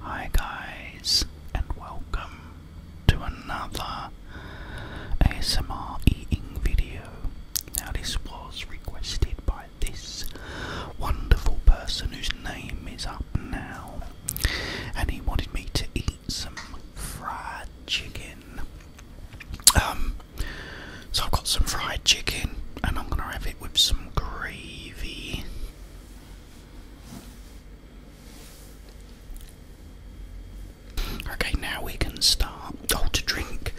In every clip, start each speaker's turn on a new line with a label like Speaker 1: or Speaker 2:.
Speaker 1: Hi guys and welcome to another ASMR eating video. Now this was requested by this wonderful person whose name is up now and he wanted me to eat some fried chicken. Um, so I've got some fried chicken and I'm gonna have it with some gravy. Okay, now we can start. Oh, to drink,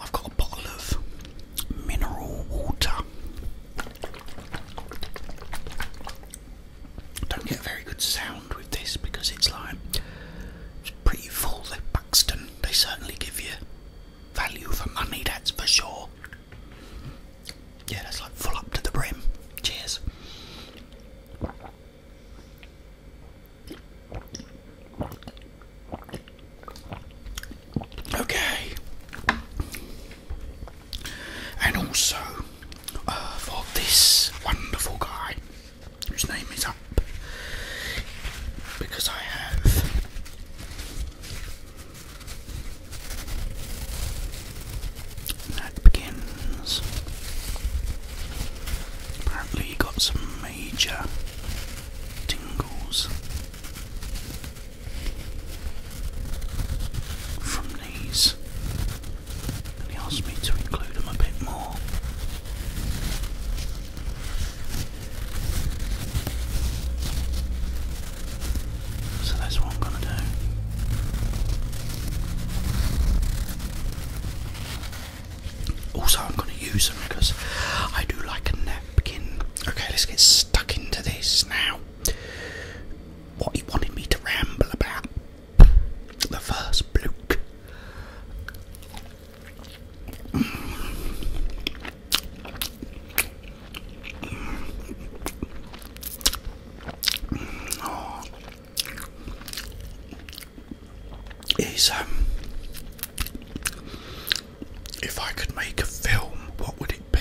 Speaker 1: I've got a bottle of mineral water. Don't get very good sound with this because it's like it's pretty full. They Buxton, they certainly give you value for money, that's for sure. Yeah, that's like full up to the brim. Cheers. Okay. And also uh, for this wonderful guy whose name is up because I have that begins. Apparently, you got some major tingles from these, and he asked me to include them a bit more. So that's what I'm going to do. Also, I'm going to use them because I do like a napkin. Okay, let's get stuck into this now. What you wanted me to ramble about. The first bloke is um if I could make a film, what would it be?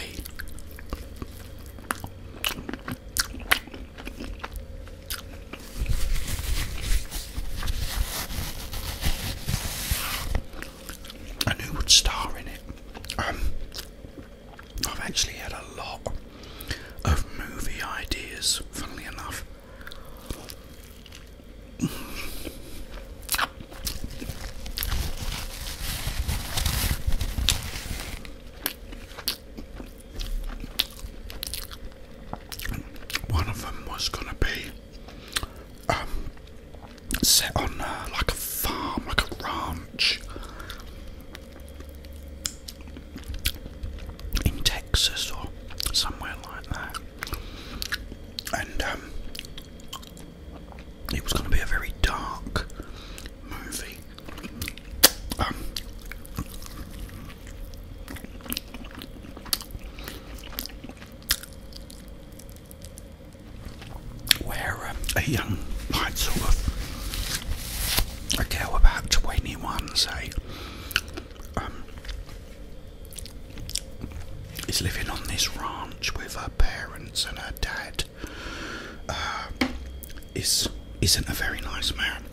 Speaker 1: and who would star in it. Um, I've actually had a lot of movie ideas, funnily enough. One of them was going to be um, set on uh, like a farm, like a ranch in Texas or somewhere like that. And um, it was going to be a very dark movie. Um, where uh, a young, like sort of a girl about 21, say, um, is living on this ranch with her parents and her dad. Uh, is isn't a very nice man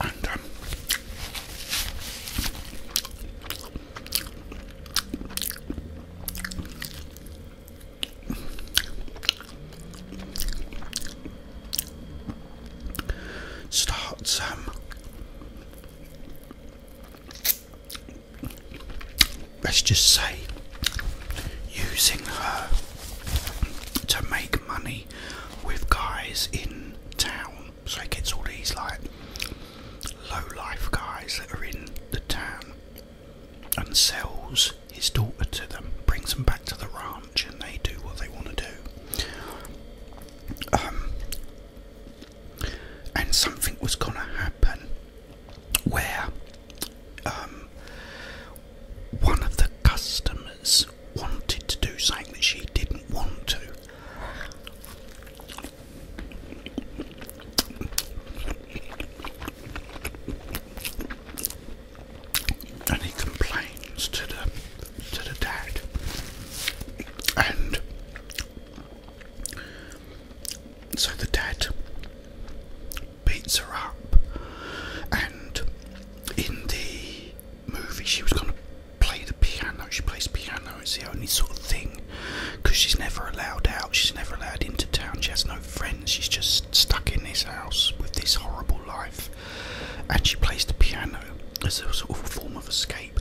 Speaker 1: and um, starts um, let's just say using her to make money with guys in town. So he gets all these like low life guys that are in the town and sells his daughter to them, brings them back to the ranch, and they do what they want to do. Um, and something was going to happen where um, one of the customers wanted to do something that she didn't want to. And he complains to the to the dad, and so the dad beats her up, and in the movie she was going to play the piano. She plays piano, it's the only sort of thing because she's never allowed out, she's never allowed into town, she has no friends, she's just stuck in this house with this horrible life. And she plays the piano as a sort of form of escape.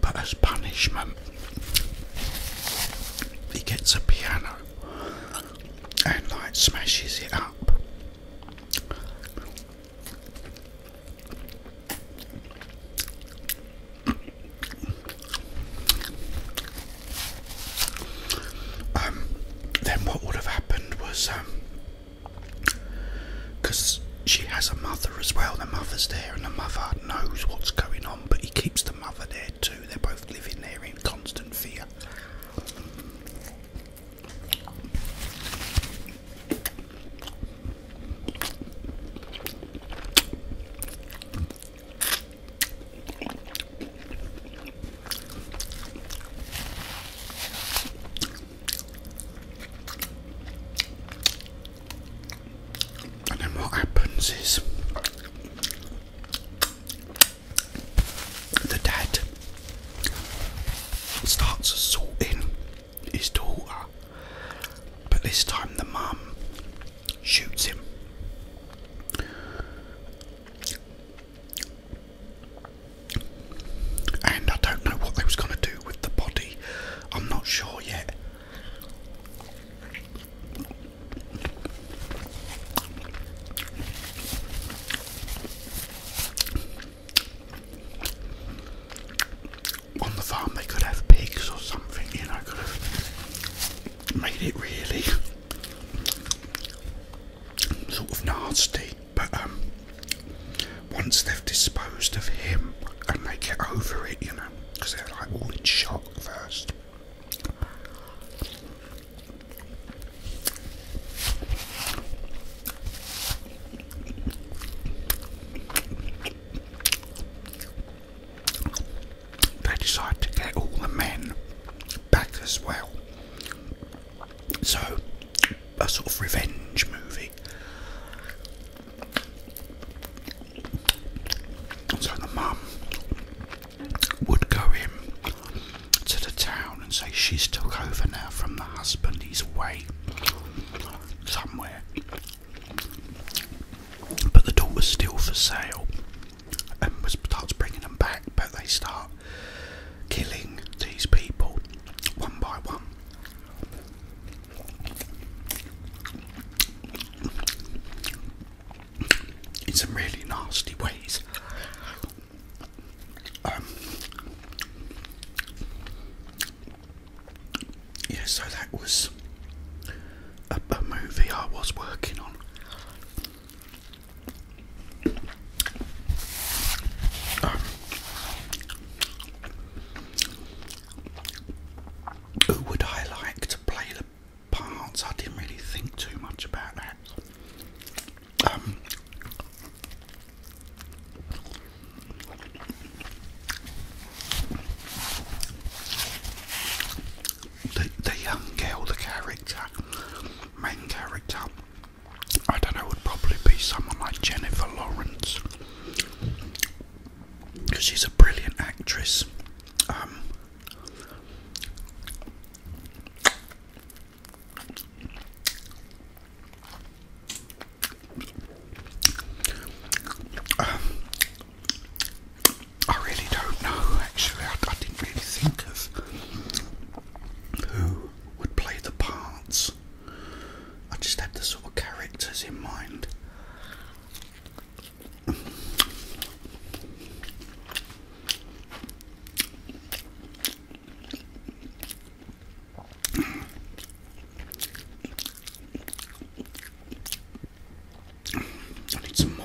Speaker 1: But as punishment, he gets a piano and like smashes it up. Um, then what would have happened was um, because she has a mother as well. The mother's there, and the mother knows what's going on, but he keeps the mother there too. They're both living there in constant fear. And then what happens is the dad starts assaulting his daughter, but this time the mum shoots him. And I don't know what they was gonna do with the body. I'm not sure yet. On the farm, they could have pigs or something, you know, could have made it really sort of nasty. But um, once they've disposed of him and they get over it, you know, because they're like all in shock first. They decide to get all the men back as well so, a sort of revenge movie. So the mum would go in to the town and say she's took over now from the husband, he's away somewhere. But the door was still for sale and was starts bringing them back, but they start killing these people one by one. In some really nasty ways. Um, yeah, so that was a movie I was working on. Um, who would I like to play the parts? I didn't really think too much about that. Um, the, the young girl, the character, main character, I don't know, would probably be someone like Jennifer Lawrence because she's a brilliant actress. Um, um, I really don't know actually, I didn't really think of who would play the parts. I just had the sort of characters in mind. I need some more.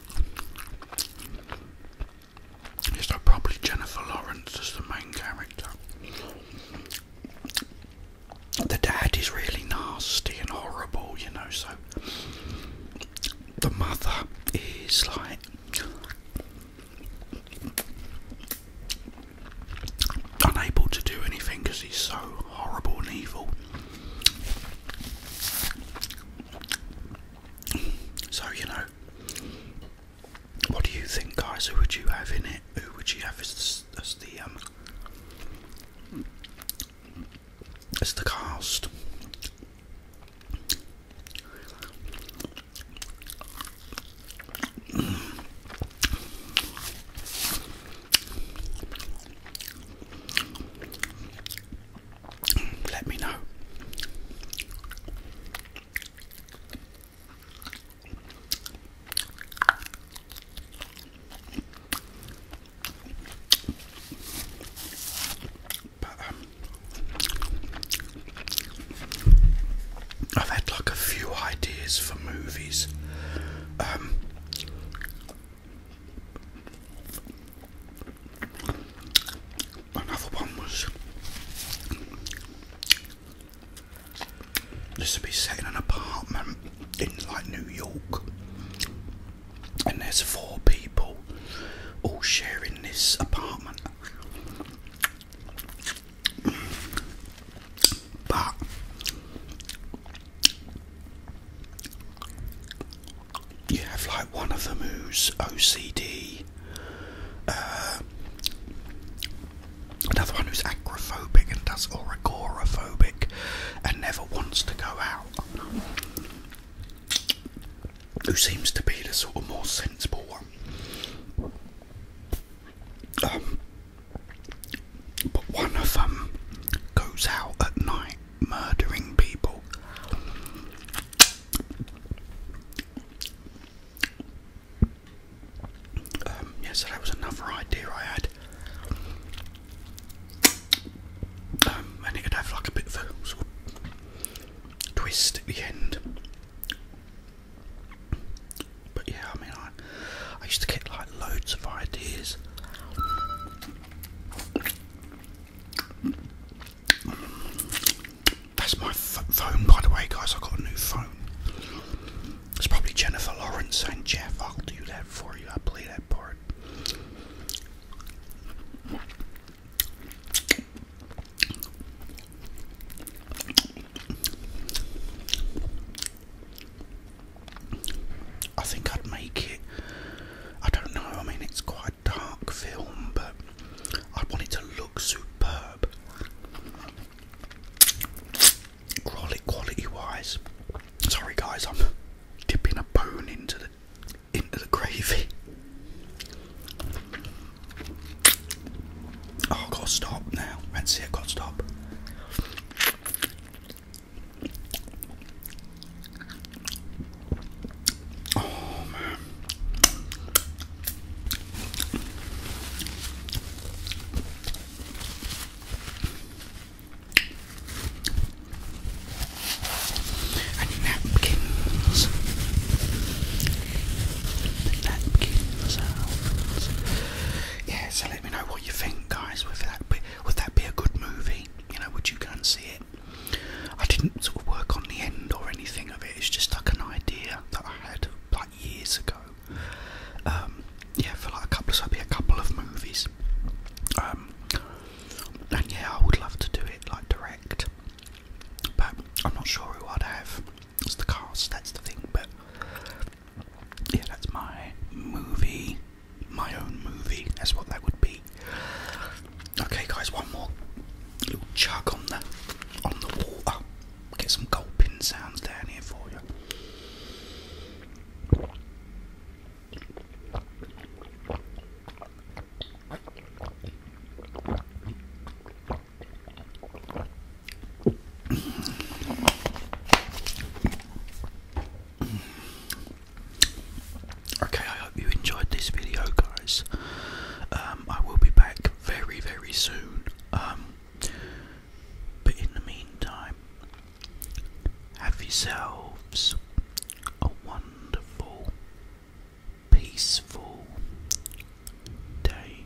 Speaker 1: Yes, probably Jennifer Lawrence as the main character. The dad is really nasty and horrible, you know, so the mother is like unable to do anything because he's so horrible and evil. So, you know, what do you think, guys? Who would you have in it? Who would you have as the, um, as the cast? let me know. Um, I've had like a few ideas for movies. Um, Another one was this would be set in an apartment in like New York, and there's four people all sharing this apartment. But you have like one of them who's OCD, uh, another one who's agoraphobic and does agoraphobic and never wants to go out. Who seems to be the sort of more sensible one. Um, but one of them goes out at night murdering people. Um, yeah, so that was another idea I had. Um, and it could have like a bit of sort of twist at the end. But yeah, I mean, I, I used to get like loads of ideas. That's my phone, by the way, guys. I've got a new phone. It's probably Jennifer Lawrence and Jeff. I'll do that for you. I'll play that part. I think I'd make it. I don't know, I mean, it's quite a dark film, but I want it to look superb. Quality wise. Sorry, guys, I'm dipping a bone into the into the gravy. Oh, i stop now. That's I've got to stop. Oh man. napkins. napkins out. let me know what you think guys. would that be a good movie? you know, which you can see it. I didn't sort of work on the end or anything of it. It's just like an idea that I had like years ago. Um, yeah, for like a couple, so be a couple of movies. Um, and yeah, I would love to do it like direct, but I'm not sure who I'd have as the cast. That's the thing. But yeah, that's my movie my own movie. That's what that would be. Okay, guys, one more little chug on the on the water. Get some gulping sounds down here for you. Okay, I hope you enjoyed this video, guys. Um, I will be back very, very soon. Um, but in the meantime, have yourselves a wonderful, peaceful day.